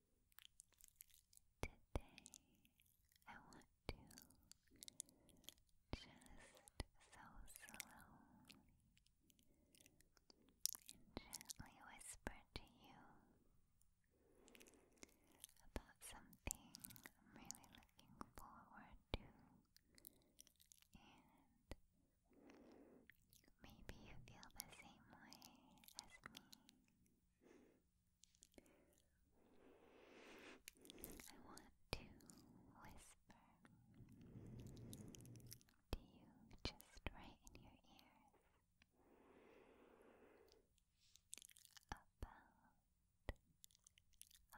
Today, I want to just so slowly and gently whisper to you about something I'm really looking forward to Maybe you feel the same way as me. I want to whisper to you just right in your ears about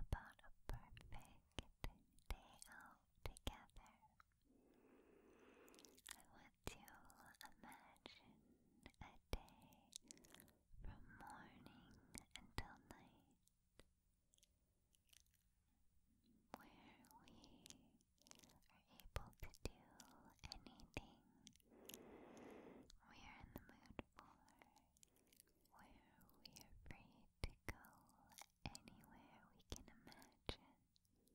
about a perfect day out together. I to imagine a day from morning until night where we are able to do anything we are in the mood for, where we are free to go anywhere we can imagine, where we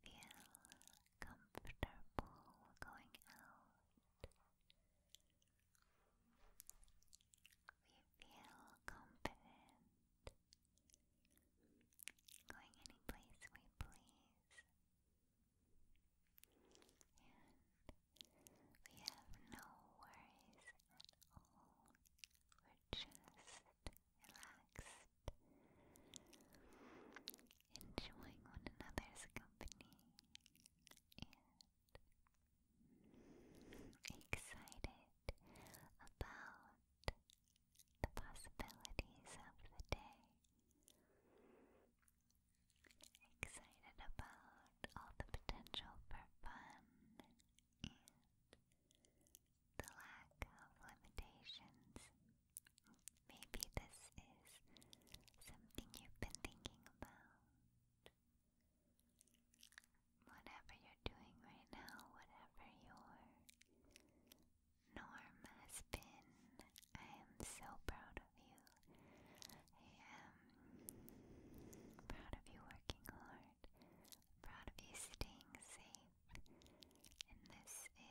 feel comfortable going out, we feel confident going any place we please. And we have no worries all. We're just relaxed, enjoying one another's company, and excited about the possibilities of the day. Excited about all the potential for fun the lack of limitations. Maybe this is something you've been thinking about. Whatever you're doing right now, whatever your norm has been, I am so proud of you. I am proud of you working hard proud of you staying safe. And this is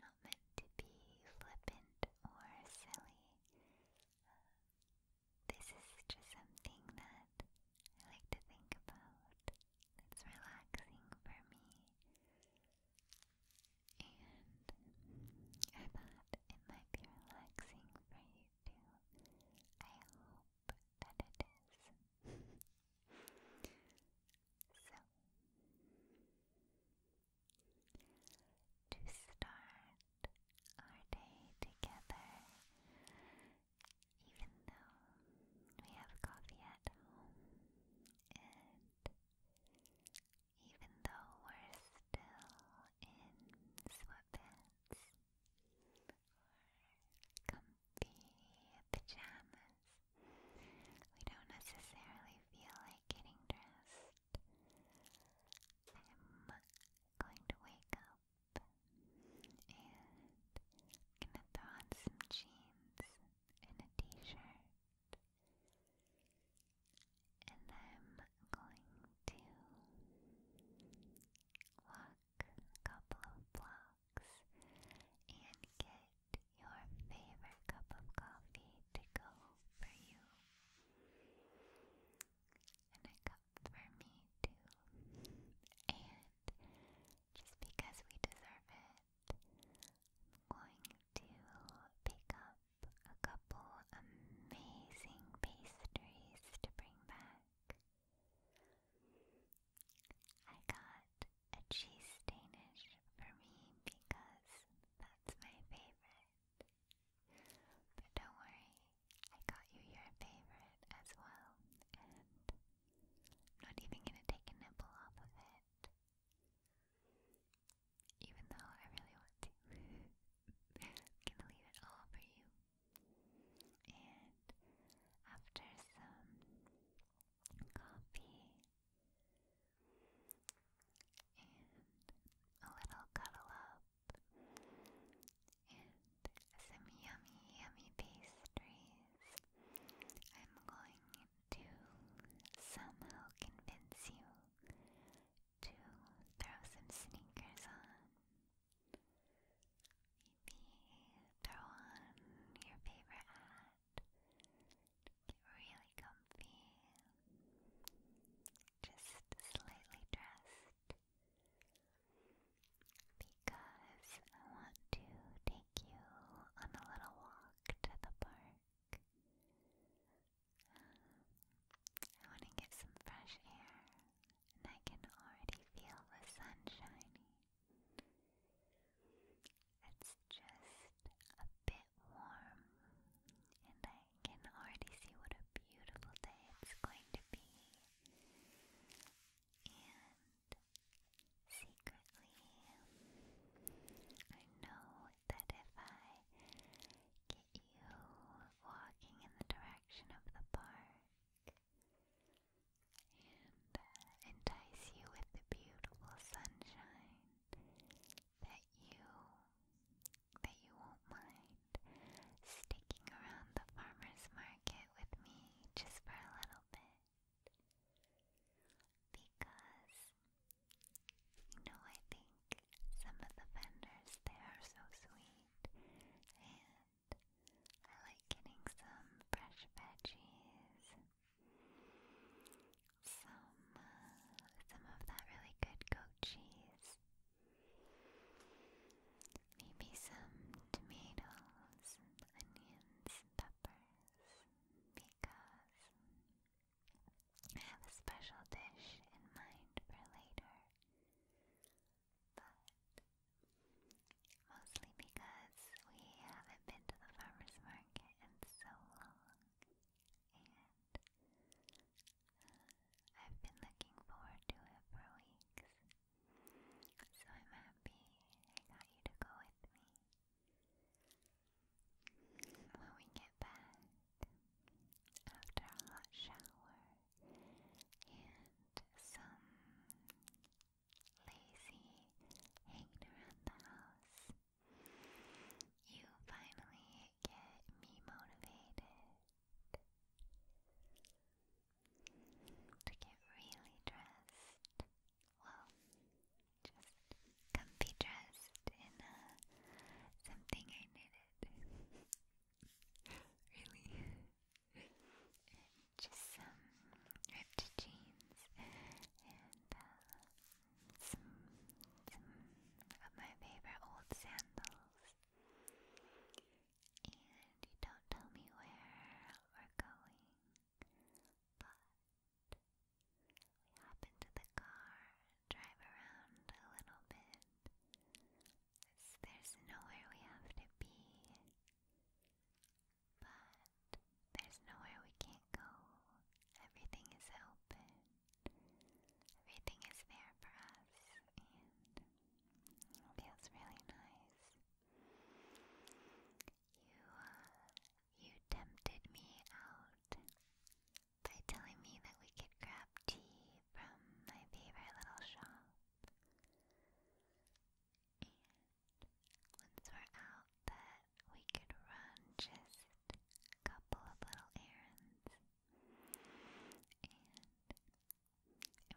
not meant to be flippant or silly. this is just something that I like to think about. It's relaxing for me. And I thought it might be relaxing for you to. I hope that it is. so, to start our day together, even though we have coffee at home and even though we're still in sweatpants or comfy pajamas, we don't necessarily feel like getting dressed. I'm going to wake up and gonna throw on some jeans and a t-shirt and I'm going to walk a couple of blocks and get your favorite cup of coffee to go for you. And a cup for me too. And just because we deserve it, going to pick up a couple amazing pastries to bring back. I got a cheese Danish for me because that's my favorite. But don't worry, I got you your favorite as well, and not even gonna take a nibble off of it even though I really want to. gonna leave it all for you. And after some coffee and a little cuddle up and some yummy, yummy pastries, I'm going to somehow convince you to throw some sneakers on. Maybe throw on your favorite hat. Get really comfy. Just slightly dressed. Because I want to take you on a little walk to the park. I want to get some fresh air, and I can already feel the sun shining. It's just a bit warm, and I can already see what a beautiful day it's going to be. And secretly, I know that if I get you walking in the direction of the park and uh, entice you with the beautiful sunshine that you that you won't mind sticking around the farmer's market with me just for a little bit because you know, I think some of the vendors they are so sweet, and I like getting some fresh veggies, some uh, some of that really good goat cheese, maybe some tomatoes, onions, peppers, because I have a special dish in mind for later, but mostly because we haven't been to the farmer's market in so long, and uh, I've been looking forward to it for weeks. So I'm happy I got you to go with me. When we get back after a hot shower and some lazy hanging around the house, you finally get me motivated to get really dressed. Well, just comfy dressed in uh, something I knitted. really. just some ripped jeans and uh, some of my favorite old sandals. And you don't tell me where we're going, but we hop into the car, drive around a little bit. there's nowhere we have to be, but there's nowhere we can't go. Everything is open, everything is there for us, and it feels really nice. You uh, you tempted me out by telling me that we could grab tea from my favorite little shop. And once we're out, that we could run just a couple of little errands. And it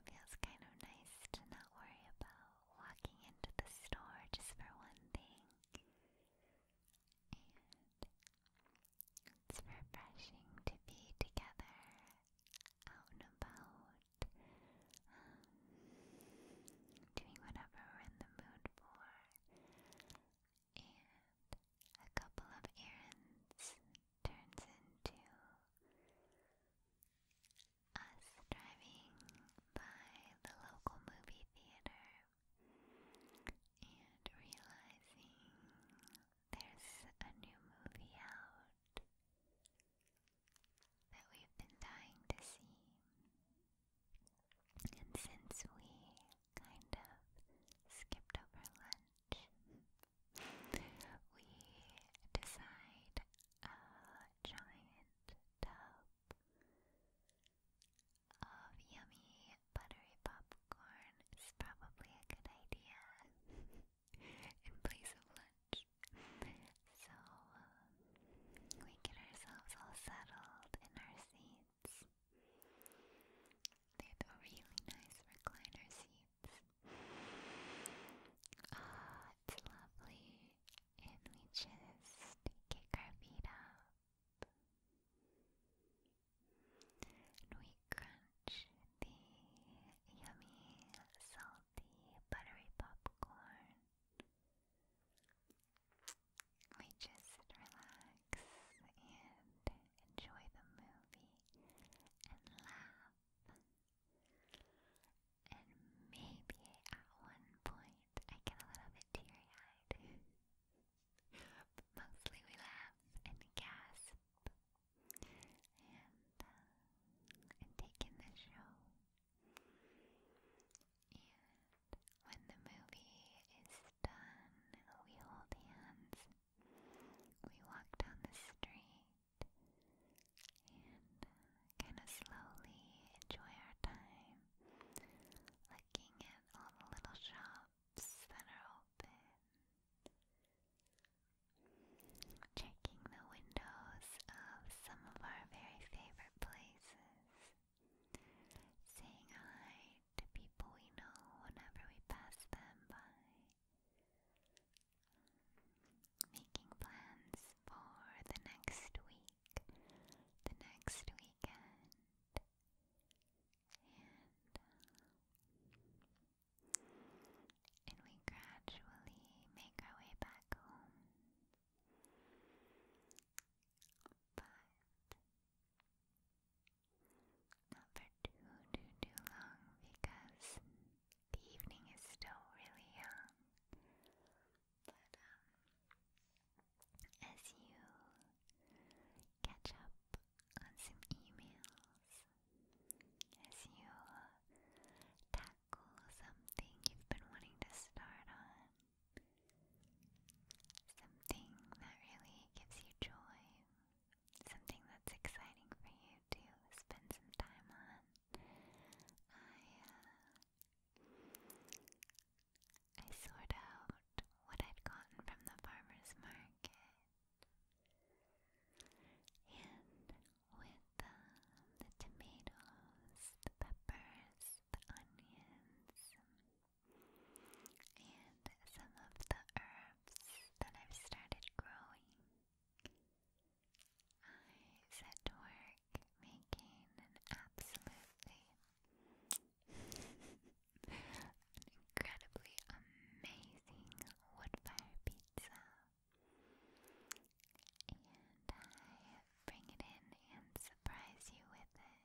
feels kind of nice to not worry about walking into the store just for one thing and it's refreshing to be together out and about, um, doing whatever we're in the mood for, and a couple of errands turns into us driving by the local movie theater and realizing there's a new movie out that we've been dying to see. And since we kind of skipped over lunch, we decide a uh, giant tub of yummy buttery popcorn is probably a good idea in place of lunch. So um, we get ourselves all settled in our seats. They have really nice recliner seats. Ah, it's lovely. And we just kick our feet up we crunch the yummy, salty, buttery popcorn. We just relax and enjoy the movie and laugh. And maybe at one point I get a little bit teary eyed. but mostly we laugh and gasp uh, and, take in the show. And when the movie is done, we hold hands. We walk down the street and uh, kind of slowly enjoy our time looking at all the little shops that are open, checking the windows of some of our very favorite places, saying hi to people we know whenever we pass them by. Making plans for the next week, the next weekend. Uh, and, we gradually make our way back home. But not for too, too, too long because the evening is still really young. But um, as you catch up on some emails, as you uh, tackle something you've been wanting to start on, something that really gives you joy, something that's exciting for you to spend some time on, I uh, I sorted out what I'd gotten from the farmer's market. And with um, the tomatoes, the peppers, the onions, and some of the herbs that I've started growing. I set to work making an absolutely incredibly amazing wood pizza. And I bring it in and surprise you with it.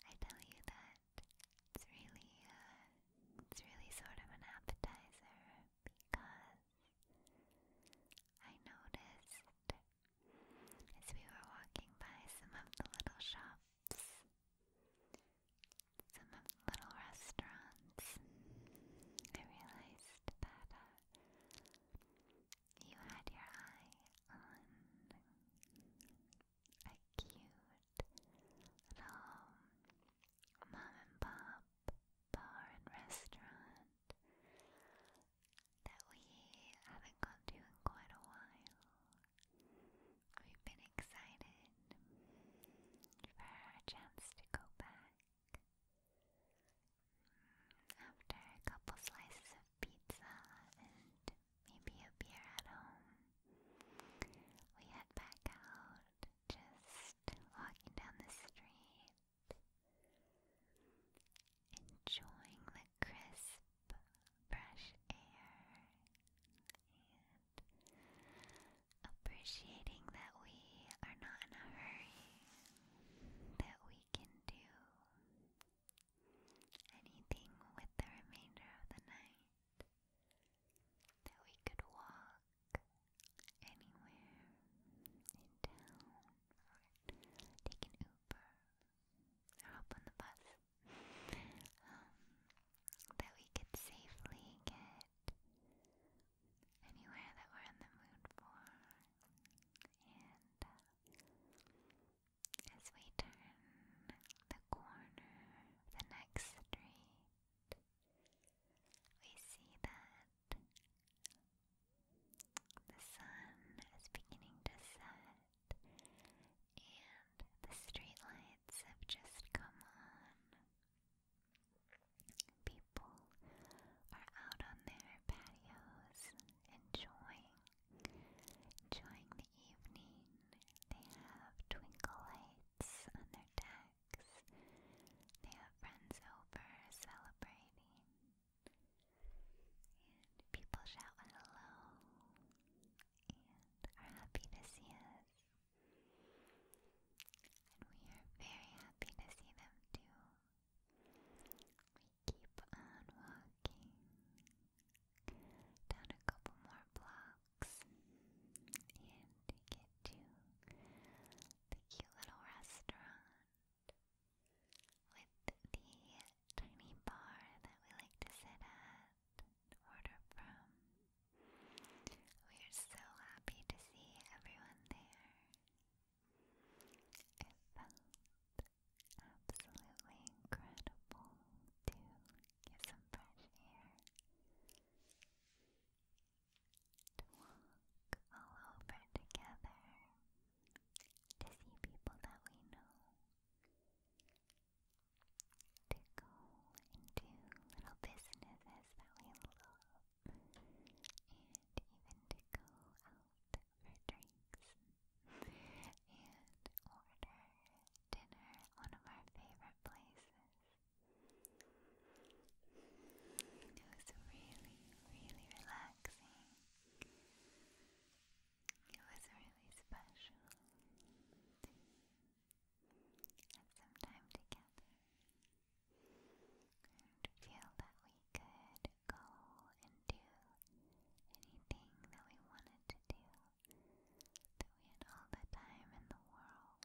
But I tell you that it's really, uh, it's really sort of an appetizer because I noticed as we were walking by some of the little shops, some of the little restaurants, I realized that uh, you had your eye on a cute little mom pop bar and restaurant that we haven't gone to in quite a while. We've been excited for our chance to go back. After a couple slices of pizza and maybe a beer at home, we head back out just walking down the street, enjoying the crisp, fresh air, and appreciating that we are not in a hurry, that we can do anything with the remainder of the night. That we could walk anywhere in town, or take an Uber, or hop on the bus, um, that we could safely get anywhere that we're in the mood for. And uh, as we turn the corner the next street, we see that the sun is beginning to set and the street lights have just come on. People are out on their patios enjoying enjoying the evening. They have twinkle lights on their deck. They have friends over celebrating. And people shout hello and are happy to see us. And we are very happy to see them too. We keep on walking down a couple more blocks and get to the cute little restaurant with the tiny bar that we like to sit at and order from. We are so happy to see everyone there. It felt absolutely incredible to get some fresh air to walk all over together to see people that we know, to go and do little businesses that we love, and even to go out for drinks and order dinner at one of our favorite places. It was really, really relaxing. It was really special to have some time together and feel that we could go and do anything that we wanted to do, that we had all the time in the world.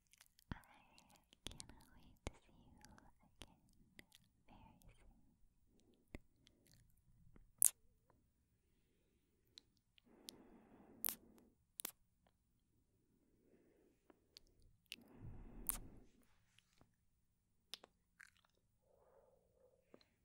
I cannot wait to see you again very soon.